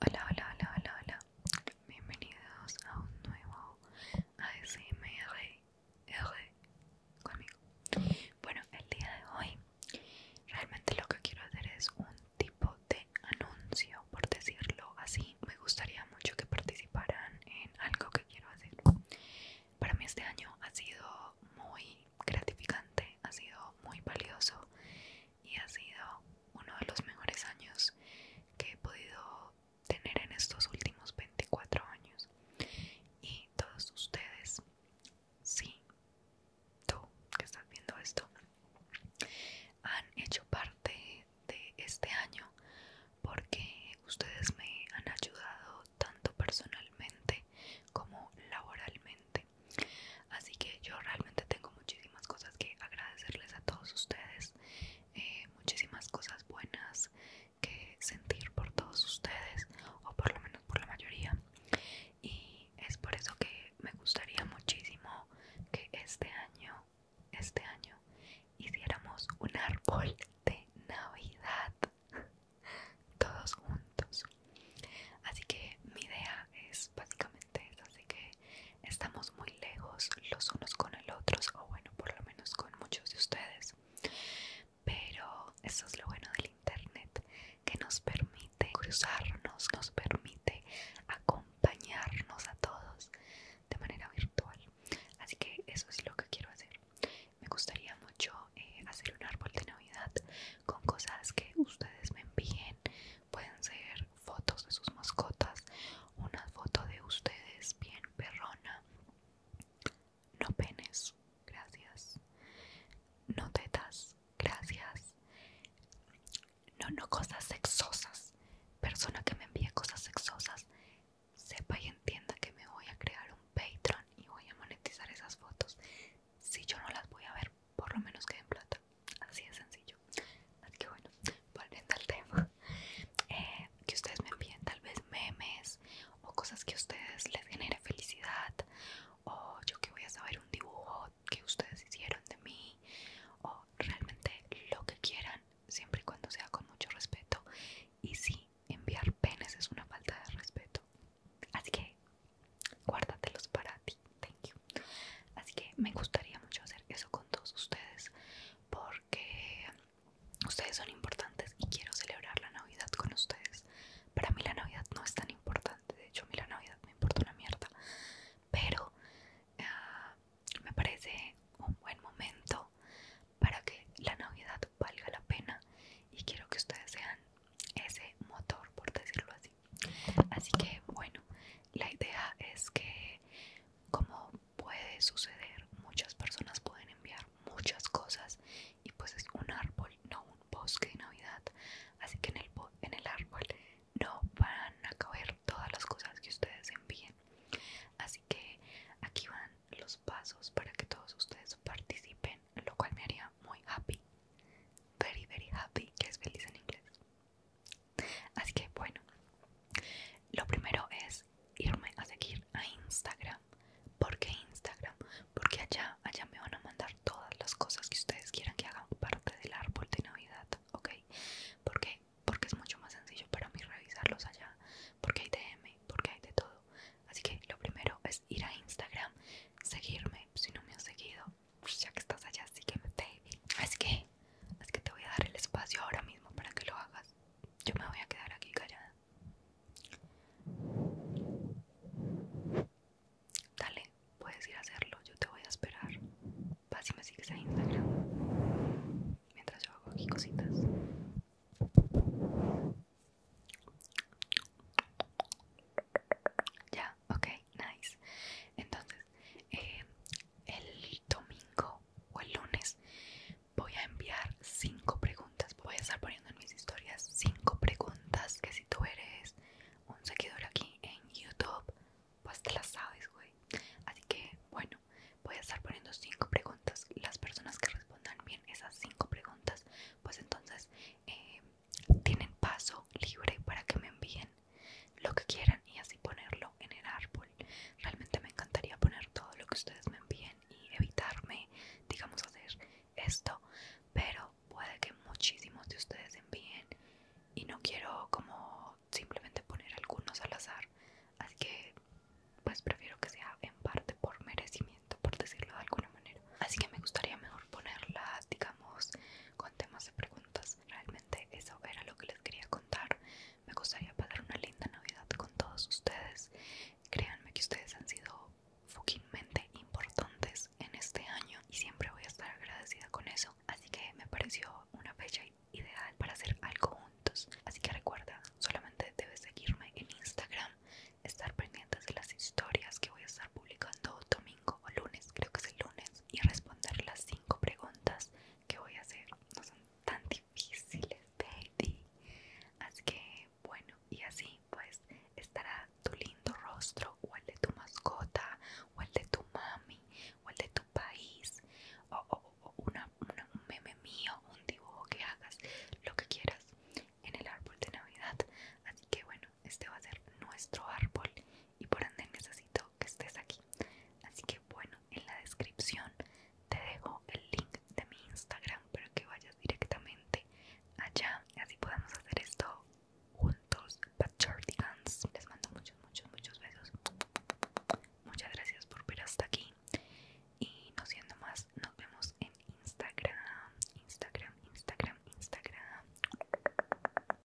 Hola, hola, hola, hola, hola. Bienvenidos a un nuevo ASMR conmigo. Bueno, el día de hoy realmente lo que quiero hacer es un tipo de anuncio, por decirlo así. Me gustaría mucho que participaran en algo que quiero hacer. Para mí este año ha sido muy gratificante, ha sido muy valioso y ha sido uno de los mejores años que he podido tener en estos últimos 24 años. Y todos ustedes, sí, tú que estás viendo esto, han hecho parte de este año porque ustedes me han ayudado tanto personalmente como laboralmente. Así que yo realmente tengo muchísimas cosas que agradecerles a todos ustedes, eh, muchísimas cosas buenas que sentir por todos ustedes, o por lo menos por la mayoría. Y es por eso que me gustaría muchísimo que este año, este año, hiciéramos un árbol de Navidad todos juntos. Así que mi idea es básicamente eso, así que estamos muy lejos los unos con el otro o bueno por lo menos con muchos de ustedes pero eso es lo bueno del internet que nos permite cruzarnos nos permite acompañarnos a todos de manera virtual así que eso es lo que quiero hacer me gustaría mucho eh, hacer un árbol de navidad con cosas que ustedes me envíen Pueden ser fotos de sus mascotas, una foto de ustedes bien perrona. No penes, gracias. No tetas, gracias. No, no cosas sexosas. Persona que me envíe cosas sexosas, sepa y entienda que me voy a crear un Patreon y voy a monetizar esas fotos. Si yo no las voy a ver, por lo menos que en plata. Así de sencillo. Así que bueno, volviendo al tema. Eh, que ustedes me envíen tal vez memes o cosas que a ustedes les genere felicidad. O yo que voy a saber un dibujo que ustedes hicieron de mí. O realmente lo que quieran, siempre y cuando sea con mucho respeto. Y sí, enviar penes es una falta de respeto. Así que guárdatelos para ti. Así que me gustaría mucho hacer eso con todos ustedes porque ustedes son importantes y quiero celebrar la Navidad con ustedes. Para mí la Navidad no es tan importante, de hecho a mí la Navidad me importa una mierda, pero ah, me parece un buen momento para que la Navidad valga la pena y quiero que ustedes sean ese motor, por decirlo así, Así que bueno, la idea es que como puede suceder, muchas personas pueden enviar muchas cosas y pues es un árbol, no un bosque de Navidad. Así que en el, en el árbol no van a caber todas las cosas que ustedes envíen. Así que aquí van los pasos para que todos ustedes participen, lo cual me haría muy happy. Very, very happy, que es feliz en inglés. Así que bueno, lo primero es irme a seguir a Instagram. ¿Por Instagram? Porque allá, allá me van a mandar todas las cosas que ustedes quieran que hagan parte del árbol de Navidad, ¿ok? Porque Porque es mucho más sencillo para mí revisarlos allá, porque hay DM, porque hay de todo. Así que lo primero es ir a Instagram, seguirme, si no me han seguido, pues, ya que estás allá, sígueme, baby. Así que, es que te voy a dar el espacio ahora mismo para que lo hagas. Yo me voy a quedar aquí callada. Dale, puedes ir a hacerlo, yo te voy a esperar. Vas y me sigues a Instagram. Mientras yo hago aquí cositas. Ya, ok, nice. Entonces, eh, el domingo o el lunes voy a enviar cinco preguntas. Voy a estar poniendo en mis historias cinco preguntas que si tú eres un seguidor aquí en YouTube, pues te las sabes, güey. Así que, bueno, voy a estar poniendo cinco preguntas. Las personas que respondan bien esas cinco preguntas, pues entonces eh, tienen paso libre para que me envíen lo que quieran y así ponerlo en el árbol. Realmente me encantaría poner todo lo que ustedes me envíen y evitarme, digamos, hacer esto, pero puede que muchísimos de ustedes envíen y no quiero como simplemente poner algunos al azar, así que pues prefiero que sea en parte por merecimiento, por decirlo de alguna manera. Así que me gustaría mejor ponerlas, digamos, con temas de preguntas. Realmente eso era lo que les quería contar. Me gustaría pasar una linda Navidad con todos ustedes. Créanme que ustedes han sido fuquimente importantes en este año y siempre voy a estar agradecida con eso. Así que me pareció una fecha ideal para hacer algo juntos. Así que recuerda, solamente debes seguirme en Instagram, estar pendientes de las historias que voy a estar publicando o lunes, creo que es el lunes, y responder las cinco preguntas que voy a hacer. No son tan difíciles, baby. Así que, bueno, y así pues estará tu lindo rostro o el de tu mascota o el de tu mami o el de tu país o, un meme mío, un dibujo que hagas, lo que quieras en el árbol de Navidad. Así que bueno, este va a ser nuestro árbol y por ende necesito que estés aquí. Así que bueno, en la descripción te dejo el link de mi Instagram para que vayas directamente allá y así podemos hacer esto juntos, Les mando muchos, muchos, muchos besos. Muchas gracias por ver hasta aquí. Y no siendo más, nos vemos en Instagram. Instagram, Instagram, Instagram.